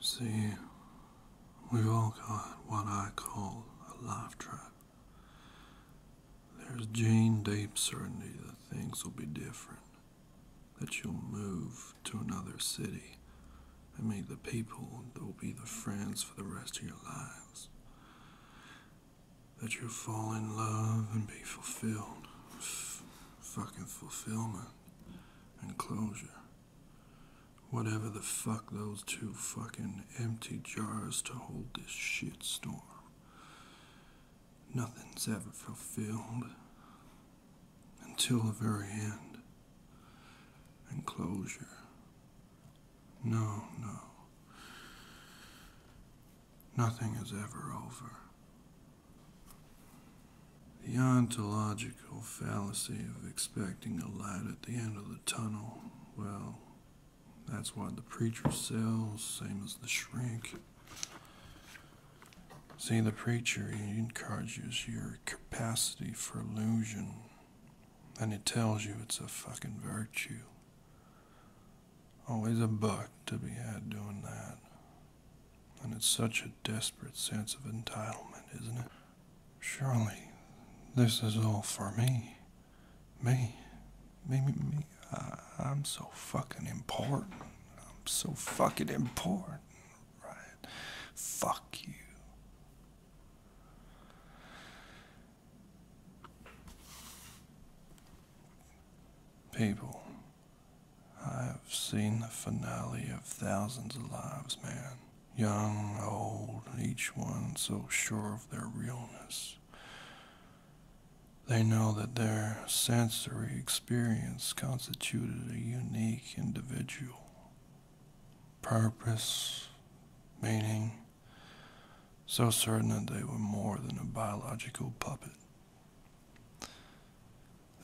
See, we've all got what I call a life trap. There's gene deep certainty that things will be different, that you'll move to another city and meet the people that will be the friends for the rest of your lives, that you'll fall in love and be fulfilled, fucking fulfillment and closure. Whatever the fuck those two fucking empty jars to hold this shit storm. Nothing's ever fulfilled until the very end. And closure. No, no. Nothing is ever over. The ontological fallacy of expecting a light at the end of the tunnel, well, that's what the preacher sells, same as the shrink. See, the preacher, he encourages your capacity for illusion, and he tells you it's a fucking virtue. Always a buck to be had doing that. And it's such a desperate sense of entitlement, isn't it? Surely this is all for me. Me. Me, me, I'm so fucking important. I'm so fucking important, right? Fuck you. People I have seen the finale of thousands of lives, man. Young, old, each one so sure of their realness. They know that their sensory experience constituted a unique individual. Purpose, meaning, so certain that they were more than a biological puppet.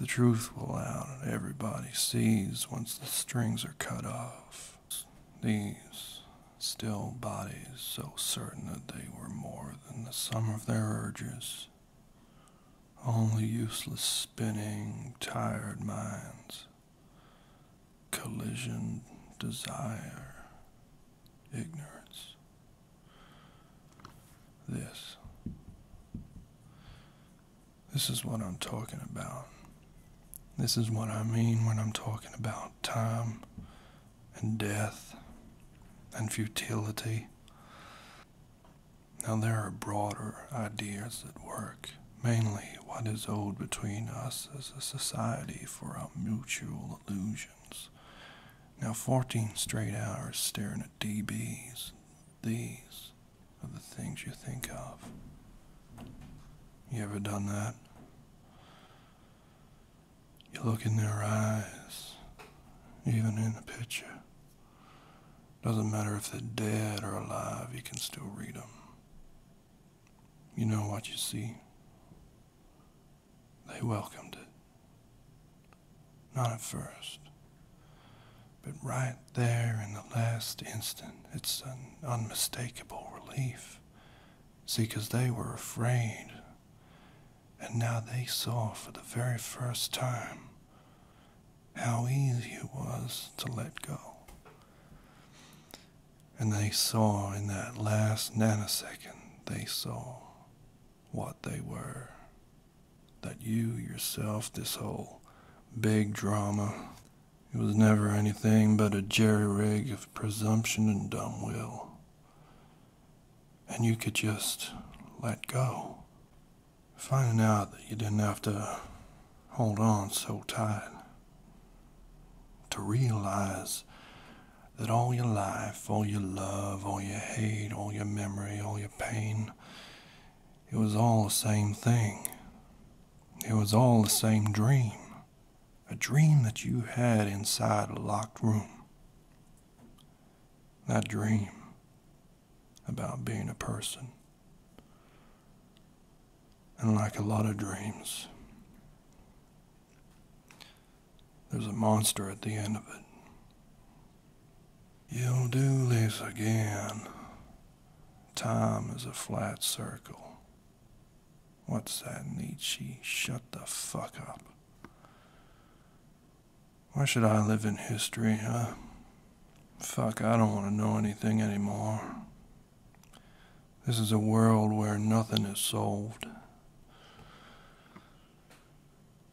The truth will out, and everybody sees once the strings are cut off. These still bodies, so certain that they were more than the sum of their urges, only useless spinning, tired minds, collision, desire, ignorance. This. This is what I'm talking about. This is what I mean when I'm talking about time and death and futility. Now, there are broader ideas at work, mainly what is owed between us as a society for our mutual illusion. Now, 14 straight hours staring at DBs. These are the things you think of. You ever done that? You look in their eyes, even in the picture. Doesn't matter if they're dead or alive, you can still read them. You know what you see. They welcomed it. Not at first, but right there in the last instant, it's an unmistakable relief. See, because they were afraid, and now they saw for the very first time how easy it was to let go. And they saw in that last nanosecond, they saw what they were that you yourself, this whole big drama, it was never anything but a jerry rig of presumption and dumb will. And you could just let go. Finding out that you didn't have to hold on so tight. To realize that all your life, all your love, all your hate, all your memory, all your pain, it was all the same thing. It was all the same dream. A dream that you had inside a locked room. That dream about being a person. And like a lot of dreams, there's a monster at the end of it. You'll do this again. Time is a flat circle. What's that, Nietzsche? Shut the fuck up. Why should I live in history, huh? Fuck, I don't want to know anything anymore. This is a world where nothing is solved.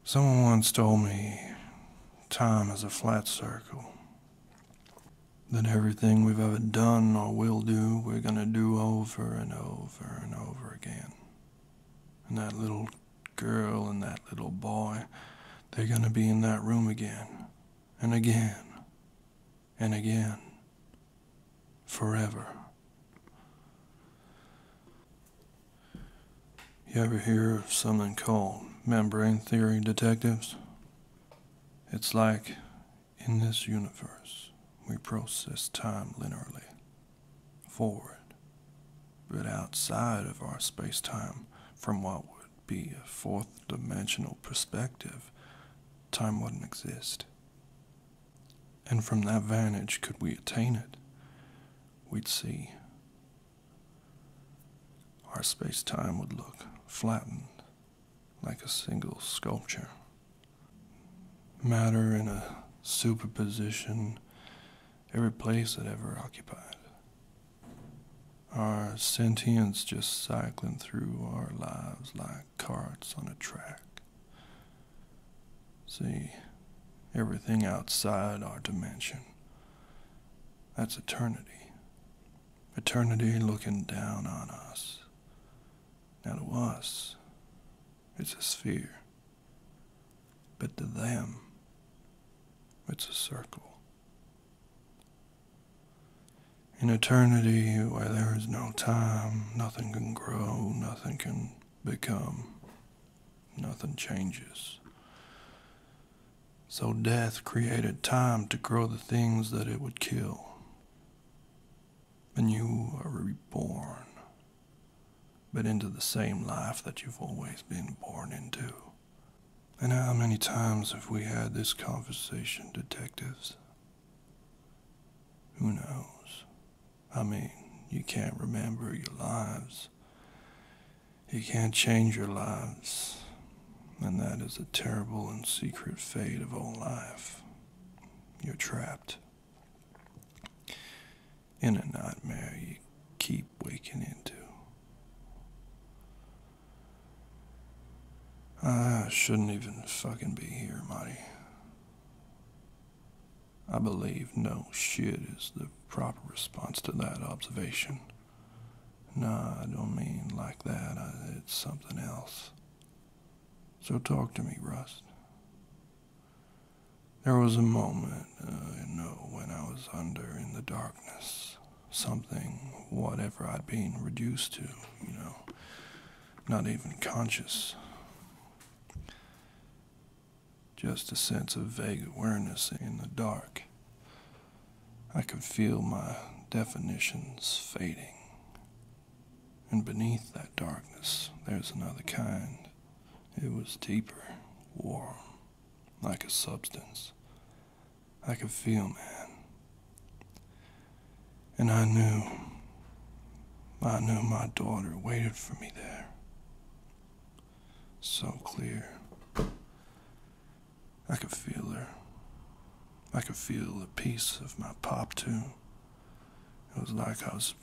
Someone once told me time is a flat circle. That everything we've ever done or will do, we're going to do over and over and over again. And that little girl and that little boy, they're going to be in that room again and again and again forever. You ever hear of something called membrane theory detectives? It's like in this universe, we process time linearly, forward, but outside of our space time, from what would be a fourth dimensional perspective, time wouldn't exist and from that vantage could we attain it, we'd see our space time would look flattened like a single sculpture. Matter in a superposition, every place it ever occupied. Our sentience just cycling through our lives like carts on a track. See, everything outside our dimension, that's eternity. Eternity looking down on us. Now to us, it's a sphere. But to them, it's a circle. In eternity, where there is no time, nothing can grow, nothing can become, Nothing changes. So death created time to grow the things that it would kill. And you are reborn, but into the same life that you've always been born into. And how many times have we had this conversation, detectives? Who knows? I mean, you can't remember your lives. You can't change your lives. And that is the terrible and secret fate of all life. You're trapped. In a nightmare you keep waking into. I shouldn't even fucking be here, Marty. I believe no shit is the proper response to that observation. No, I don't mean like that. it's something else. So talk to me, Rust. There was a moment, uh, you know, when I was under in the darkness. Something, whatever I'd been reduced to, you know, not even conscious just a sense of vague awareness in the dark. I could feel my definitions fading. And beneath that darkness, there's another kind. It was deeper, warm, like a substance. I could feel man. And I knew I knew my daughter waited for me there. So clear. I could feel her. I could feel the peace of my pop too. It was like I was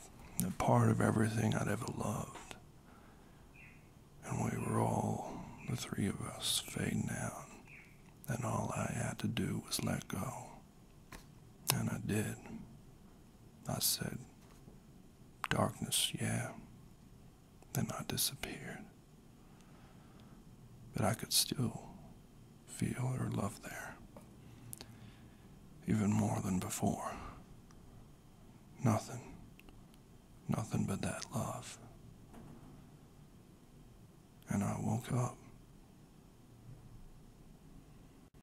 a part of everything I'd ever loved. And we were all, the three of us, fading out. And all I had to do was let go. And I did. I said, Darkness, yeah. Then I disappeared. But I could still feel her love there, even more than before. Nothing, nothing but that love. And I woke up.